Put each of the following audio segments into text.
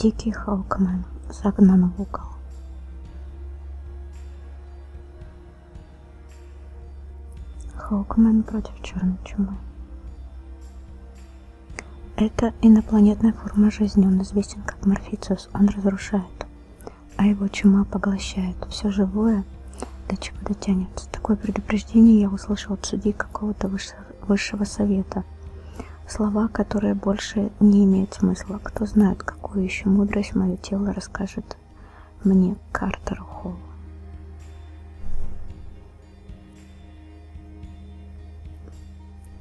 Дикий Халкмен загнан в угол. Халкмен против черной чумы. Это инопланетная форма жизни, он известен как Морфициус, он разрушает а его чума поглощает все живое, до чего дотянется. Такое предупреждение я услышал от судей какого-то высшего совета. Слова, которые больше не имеют смысла. Кто знает, какую еще мудрость мое тело расскажет мне Картер Холл.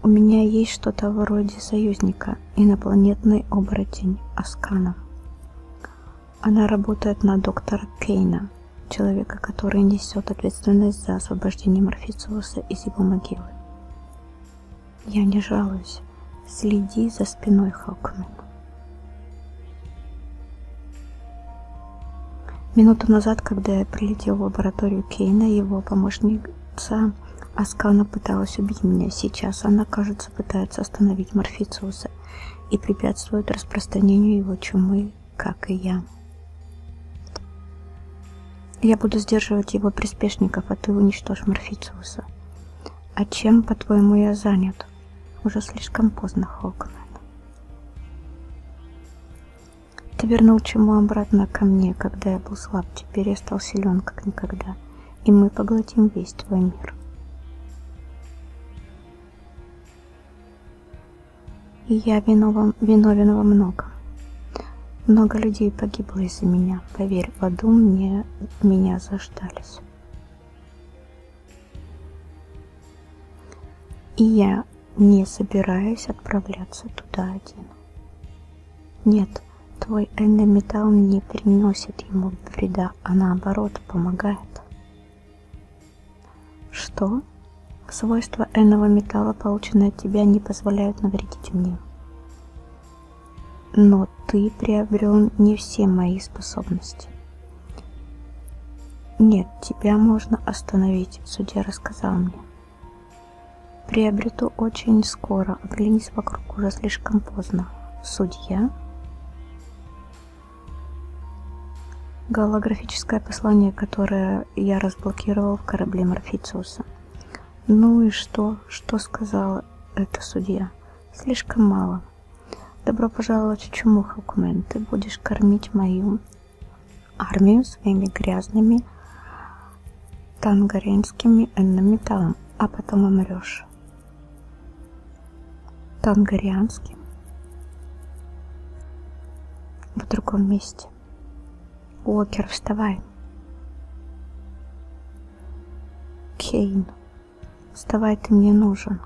У меня есть что-то вроде союзника, инопланетный оборотень Асканов. Она работает на доктора Кейна, человека, который несет ответственность за освобождение Морфициуса из его могилы. Я не жалуюсь. Следи за спиной Хокмана. Минуту назад, когда я прилетел в лабораторию Кейна, его помощница Аскана пыталась убить меня. Сейчас она, кажется, пытается остановить Морфициуса и препятствует распространению его чумы, как и я. Я буду сдерживать его приспешников, а ты уничтожь Морфициуса. А чем, по-твоему, я занят? Уже слишком поздно, Хокмен. Ты вернул чуму обратно ко мне, когда я был слаб Теперь я стал силен, как никогда, и мы поглотим весь твой мир. И я виновен, виновен во многом. Много людей погибло из-за меня. Поверь, в аду мне, меня заждались. И я не собираюсь отправляться туда один. Нет, твой эндометалл не приносит ему вреда, а наоборот помогает. Что? Свойства энного металла, полученные от тебя, не позволяют навредить мне. Но ты приобрел не все мои способности. Нет, тебя можно остановить, судья рассказал мне. Приобрету очень скоро. Оглянись вокруг, уже слишком поздно. Судья. Голографическое послание, которое я разблокировал в корабле Морфициуса. Ну и что? Что сказала эта судья? Слишком мало. Добро пожаловать в Чуму, Хокмен. Ты будешь кормить мою армию своими грязными тангаренскими эннометаллом, а потом умрешь. Тангарианским в другом месте. Уокер, вставай. Кейн, вставай, ты мне нужен.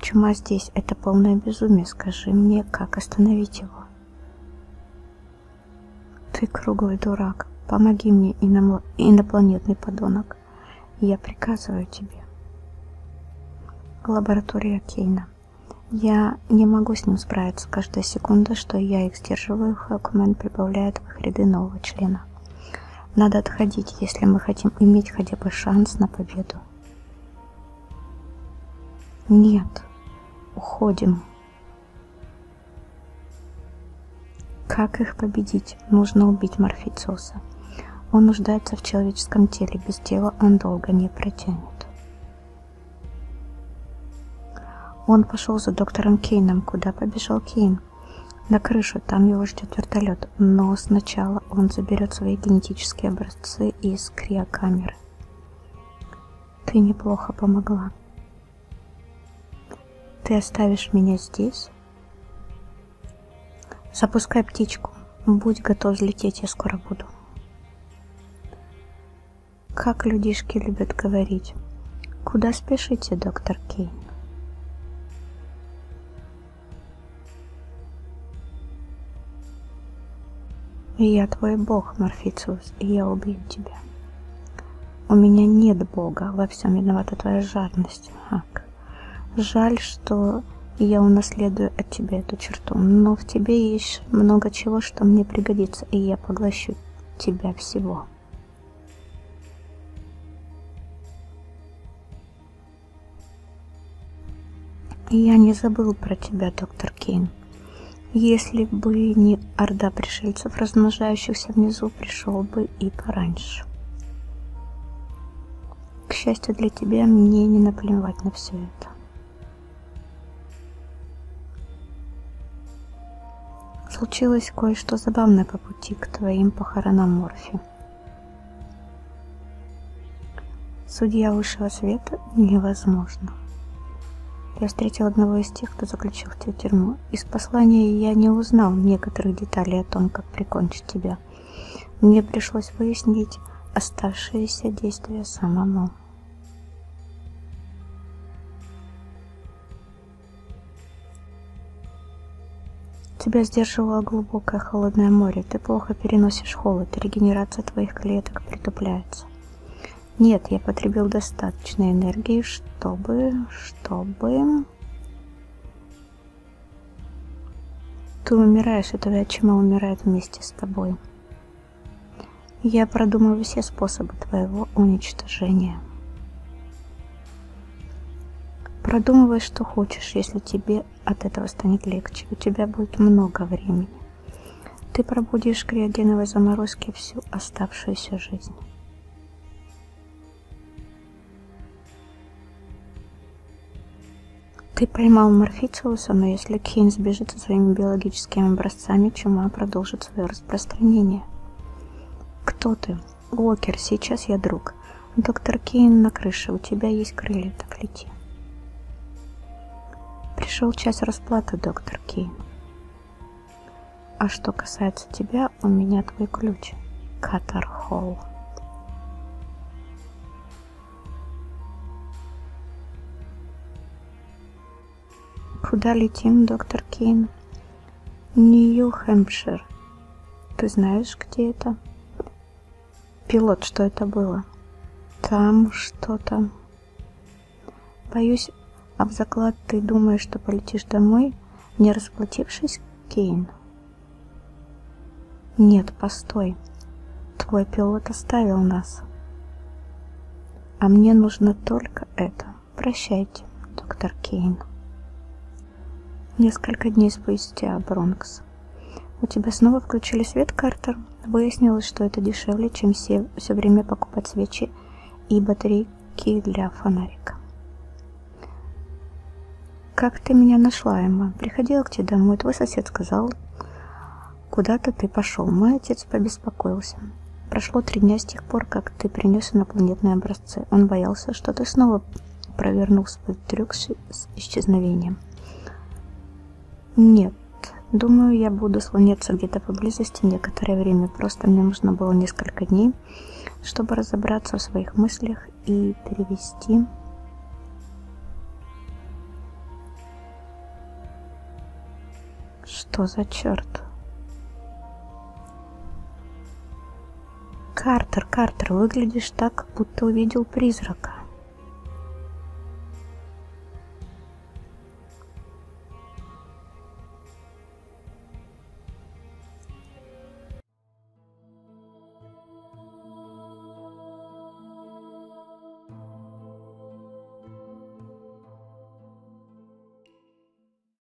Чума здесь, это полное безумие. Скажи мне, как остановить его. Ты круглый дурак. Помоги мне, инопланетный подонок. Я приказываю тебе. Лаборатория Кейна. Я не могу с ним справиться. Каждая секунда, что я их сдерживаю, Хакумен прибавляет в их ряды нового члена. Надо отходить, если мы хотим иметь хотя бы шанс на победу. Нет, уходим. Как их победить? Нужно убить Морфициоса. Он нуждается в человеческом теле, без тела он долго не протянет. Он пошел за доктором Кейном. Куда побежал Кейн? На крышу, там его ждет вертолет. Но сначала он заберет свои генетические образцы из криокамеры. Ты неплохо помогла. Ты оставишь меня здесь? Запускай птичку. Будь готов взлететь, я скоро буду. Как людишки любят говорить. Куда спешите, доктор Кейн? Я твой бог, Морфициус, и я убью тебя. У меня нет бога, во всем виновата твоя жадность, Ак. Жаль, что я унаследую от тебя эту черту, но в тебе есть много чего, что мне пригодится, и я поглощу тебя всего. Я не забыл про тебя, доктор Кейн. Если бы не орда пришельцев, размножающихся внизу, пришел бы и пораньше. К счастью для тебя, мне не наплевать на все это. Случилось кое-что забавное по пути к твоим похоронам Морфи. Судья высшего света невозможно. Я встретил одного из тех, кто заключил тебя в тюрьму. Из послания я не узнал некоторых деталей о том, как прикончить тебя. Мне пришлось выяснить оставшиеся действия самому. Тебя сдерживало глубокое холодное море. Ты плохо переносишь холод, регенерация твоих клеток притупляется. Нет, я потребил достаточно энергии, чтобы... чтобы... Ты умираешь, и твоя чума умирает вместе с тобой. Я продумаю все способы твоего уничтожения. Продумывай, что хочешь, если тебе от этого станет легче. У тебя будет много времени. Ты пробудишь криогеновой заморозки всю оставшуюся жизнь. Ты поймал Морфициуса, но если Кейн сбежит со своими биологическими образцами, чума продолжит свое распространение. Кто ты? Уокер, сейчас я друг. Доктор Кейн на крыше, у тебя есть крылья, так лети. Пришел час расплаты, доктор Кейн. А что касается тебя, у меня твой ключ. Катар Холл. Куда летим, доктор Кейн? Нью-Хэмпшир. Ты знаешь, где это? Пилот, что это было? Там что-то. Боюсь, об а заклад ты думаешь, что полетишь домой, не расплатившись, Кейн? Нет, постой. Твой пилот оставил нас. А мне нужно только это. Прощайте, доктор Кейн. Несколько дней спустя, Бронкс. У тебя снова включили свет, Картер? Выяснилось, что это дешевле, чем все, все время покупать свечи и батарейки для фонарика. Как ты меня нашла, Эмма? Приходила к тебе домой, твой сосед сказал, куда-то ты пошел. Мой отец побеспокоился. Прошло три дня с тех пор, как ты принес инопланетное образование сердце. Он боялся, что ты снова провернул свой трюк с исчезновением. Нет, думаю, я буду слоняться где-то поблизости некоторое время. Просто мне нужно было несколько дней, чтобы разобраться в своих мыслях и перевести... Что за черт? «Картер, Картер, выглядишь так, будто увидел призрака».